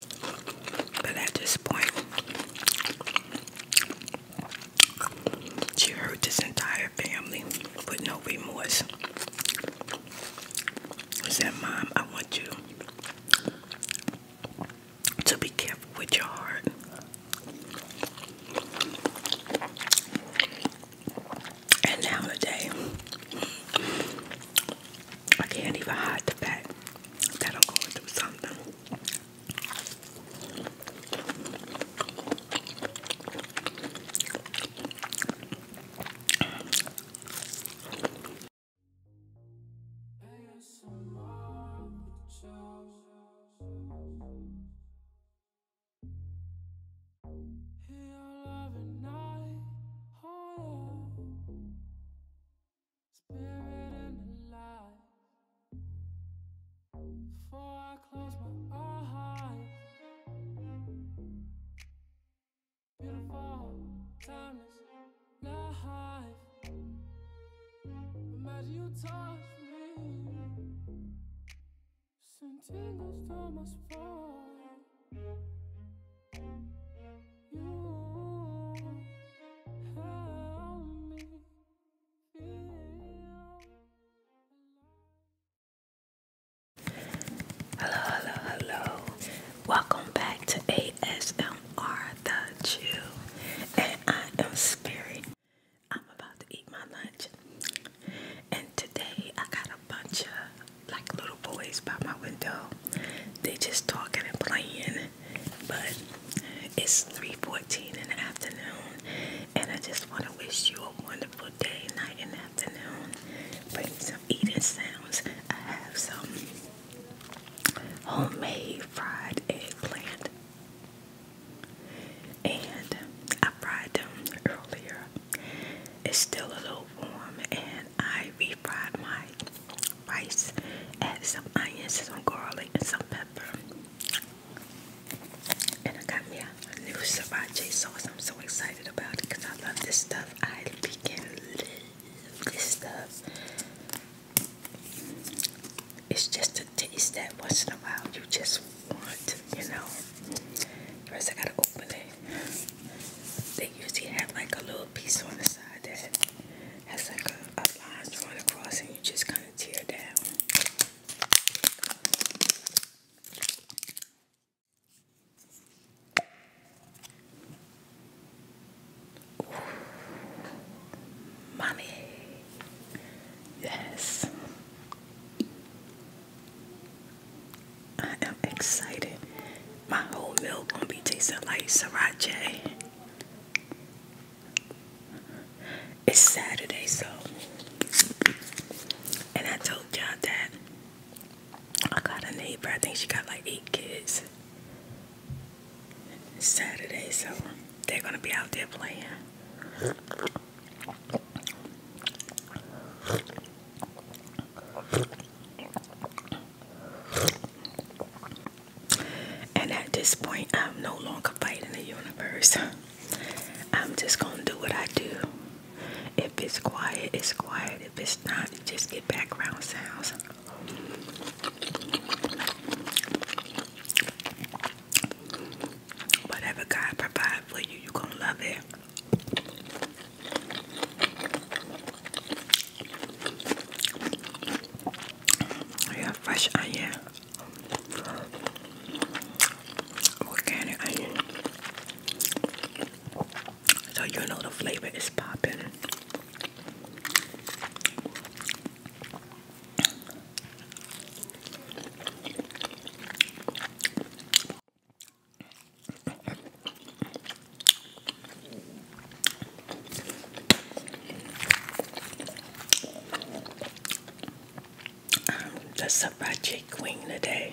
But at this point, she hurt this entire family with no remorse. I said, Mom, I want you to be careful with your heart. And now today, I can't even hide the fact that I'm going through something spirit and the light. Before I close my eyes, beautiful, timeless life. Imagine you touch me, send tingles to my spine. Hello, hello, hello. Welcome back to ASMR The Jew. And I am Spirit. I'm about to eat my lunch. And today I got a bunch of like little boys by my window. They just talking and playing. But it's 3.14 in the afternoon and I just want to wish you a wonderful day, night, and afternoon. Bring some eating sounds. I have some homemade fried eggplant. And I fried them earlier. It's still a little warm and I refried my rice, added some onions, some garlic, and some pepper. And I got me a new sriracha sauce. I'm so excited about it because I love this stuff. I begin love this stuff. It's just a taste that once in a while you just want, you know. First, I gotta open it. They usually have like a little piece on the side that has like a, line drawn across, and you just kind of tear down. mommy, yes, I am excited my whole meal gonna be tasting like sriracha. It's Saturday, so and I told y'all that I got a neighbor. I think she got like eight kids. Saturday, so they're gonna be out there playing. And at this point, I'm no longer fighting the universe. I'm just gonna do what I do. If it's quiet, it's quiet. If it's not, just get background sounds. Whatever God provides for you, you're gonna love it have fresh onion, organic onion. So you know the flavor is popping. I'm the Sabache Queen today.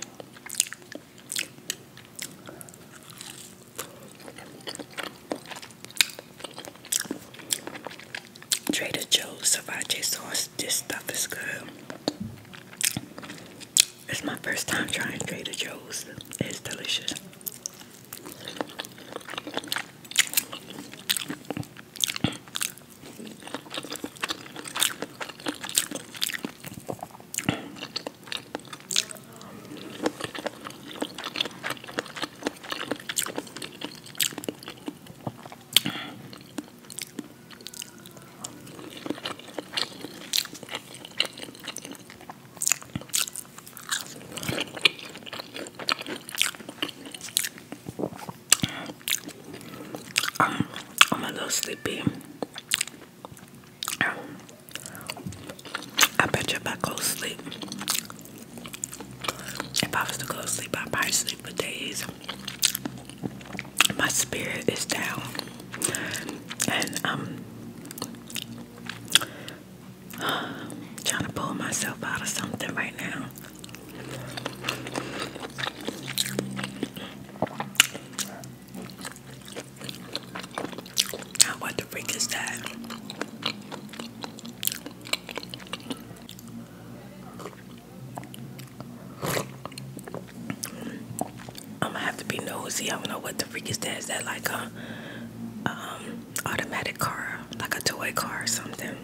Trader Joe's Savache sauce. This stuff is good. It's my first time trying Trader Joe's. It's delicious. Um, I'm a little sleepy. I bet you if I go sleep, if I was to go sleep, I'd probably sleep for days. My spirit is down, and um, I'm trying to pull myself out of something right now. Now what the freak is that? I'm gonna have to be nosy. I don't know what the freak is that. Is that like a um, automatic car, like a toy car or something?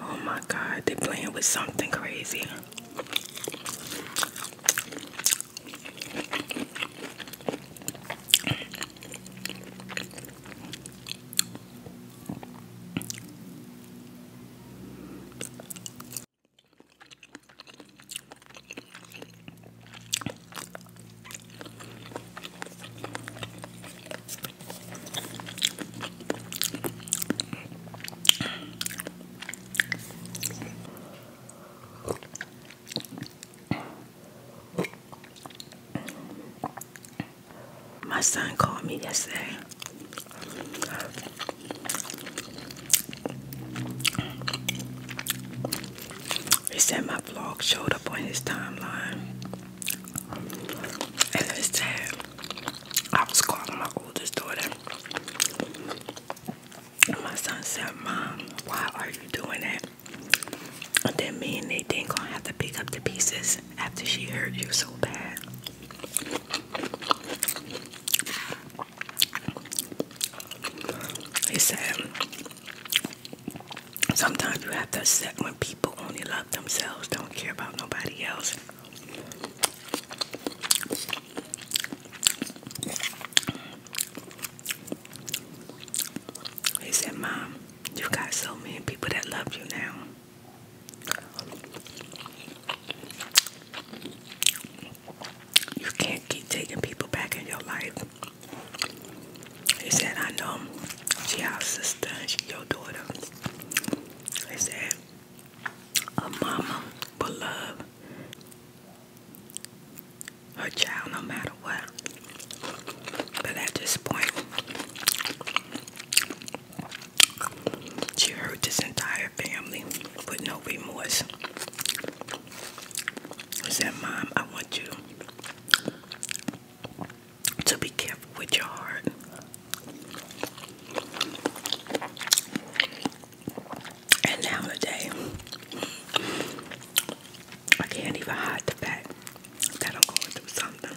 Oh my God, they're playing with something crazy. My son called me yesterday he said my vlog showed up on his timeline. And it said I was calling my oldest daughter. And my son said, Mom, why are you doing that? That me and Nate ain't gonna have to pick up the pieces after she hurt you so bad. He said, Sometimes you have to accept when people only love themselves, don't care about nobody else. He said, Mom, you have got so many people that love you now you can't keep taking people back in your life. He said, I know she our sister, she your daughter. He said, a mama will love her child no matter what. But at this point, she hurt this entire family with no remorse. said, Mom, I want you to be careful with your heart. And now today, I can't even hide the fact that I'm going through something.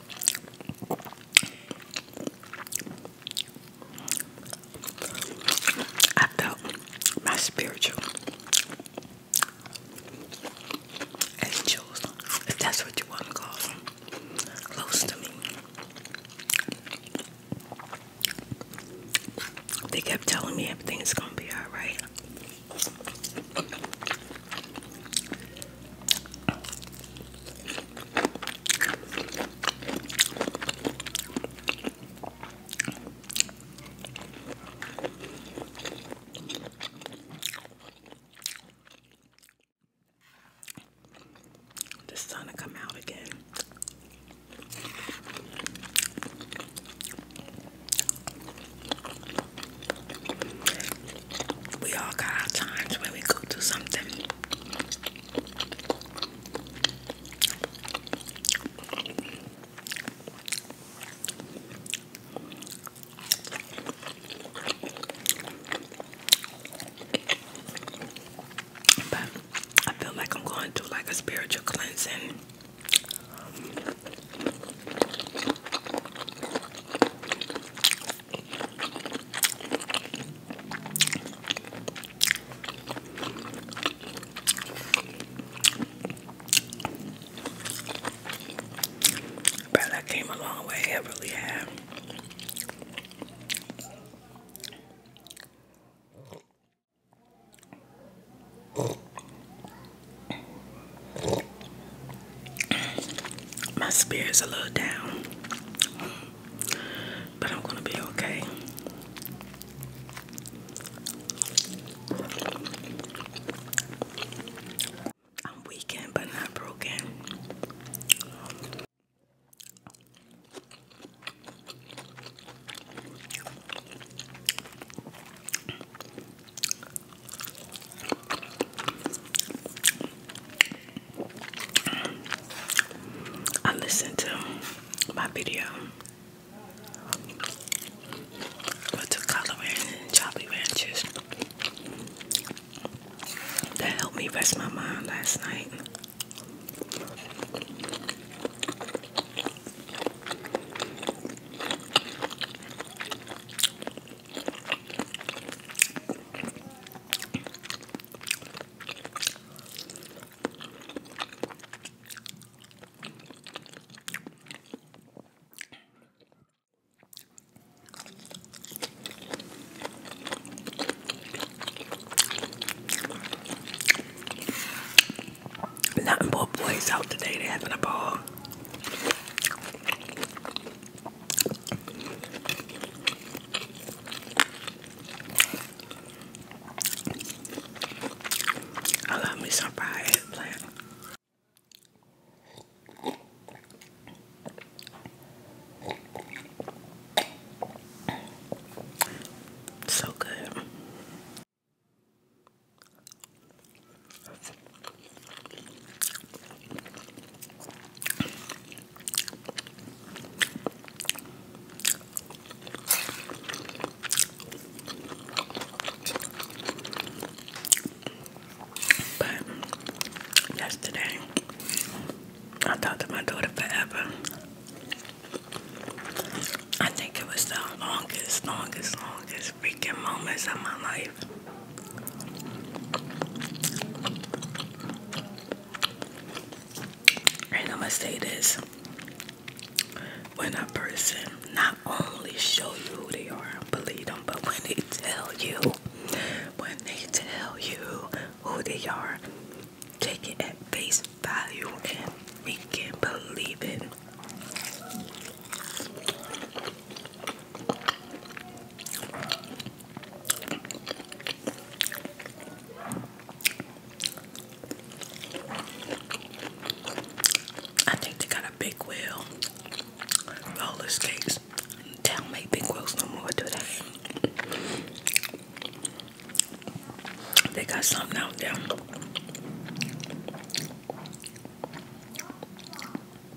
I felt my spiritual angels, if that's what you want to call them, close to me. They kept telling me everything's gonna be alright. The sun to come out again. We all got our times when we go through something. But I feel like I'm going through like a spiritual cleansing. But I came a long way, I really have. My spirit's a little down, but I'm gonna be okay. I'm weakened but not broken. I listened to my video with the color and chocolate ranches that helped me rest my mind last night. Nothing but boys out today, they having a ball. I love me some fried eggplant. So good. But yesterday, I talked to my daughter forever. I think it was the longest, longest, longest freaking moments of my life. I'm gonna say this when a person not only show you who they are, believe them, but when they tell you, when they tell you who they are, take it at face value and we can believe it. I think they got a big wheel, roller skates. They big wheels no more, do They got something out there.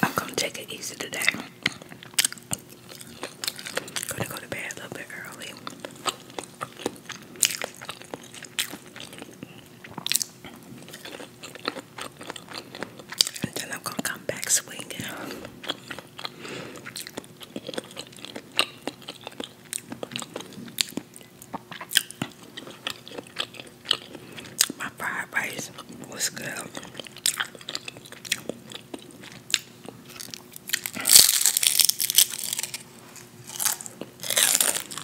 I'm gonna take it easy today. Gonna go to bed a little bit early and then I'm gonna come back swinging. My fried rice was good.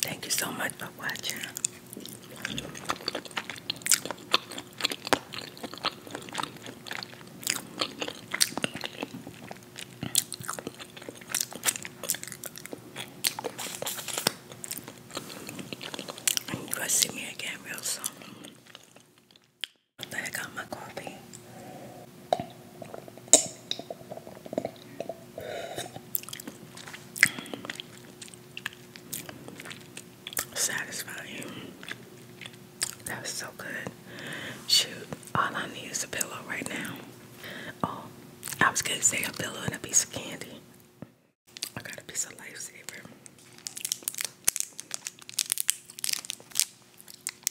Thank you so much for watching. You'll see me again real soon. I got my coffee. Satisfying. That was so good. Shoot, all I need is a pillow right now. Oh, I was gonna say a pillow and a piece of candy. I got a piece of lifesaver.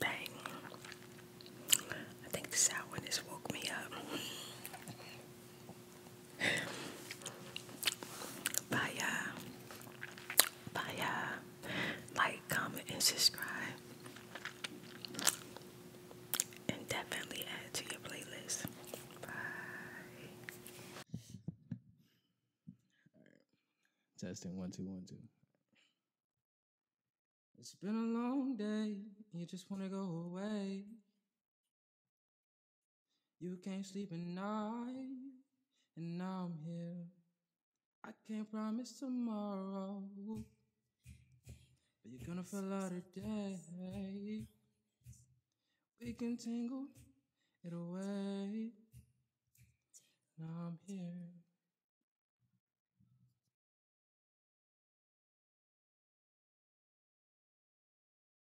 Bang. I think the sourness woke me up. Bye y'all. Bye y'all. Like, comment, and subscribe. And definitely add to your playlist. Bye. Testing one, two, one, two. It's been a long day. You just want to go away. You can't sleep at night, and now I'm here. I can't promise tomorrow, but you're gonna fall out today. We can tangle it away. Now I'm here.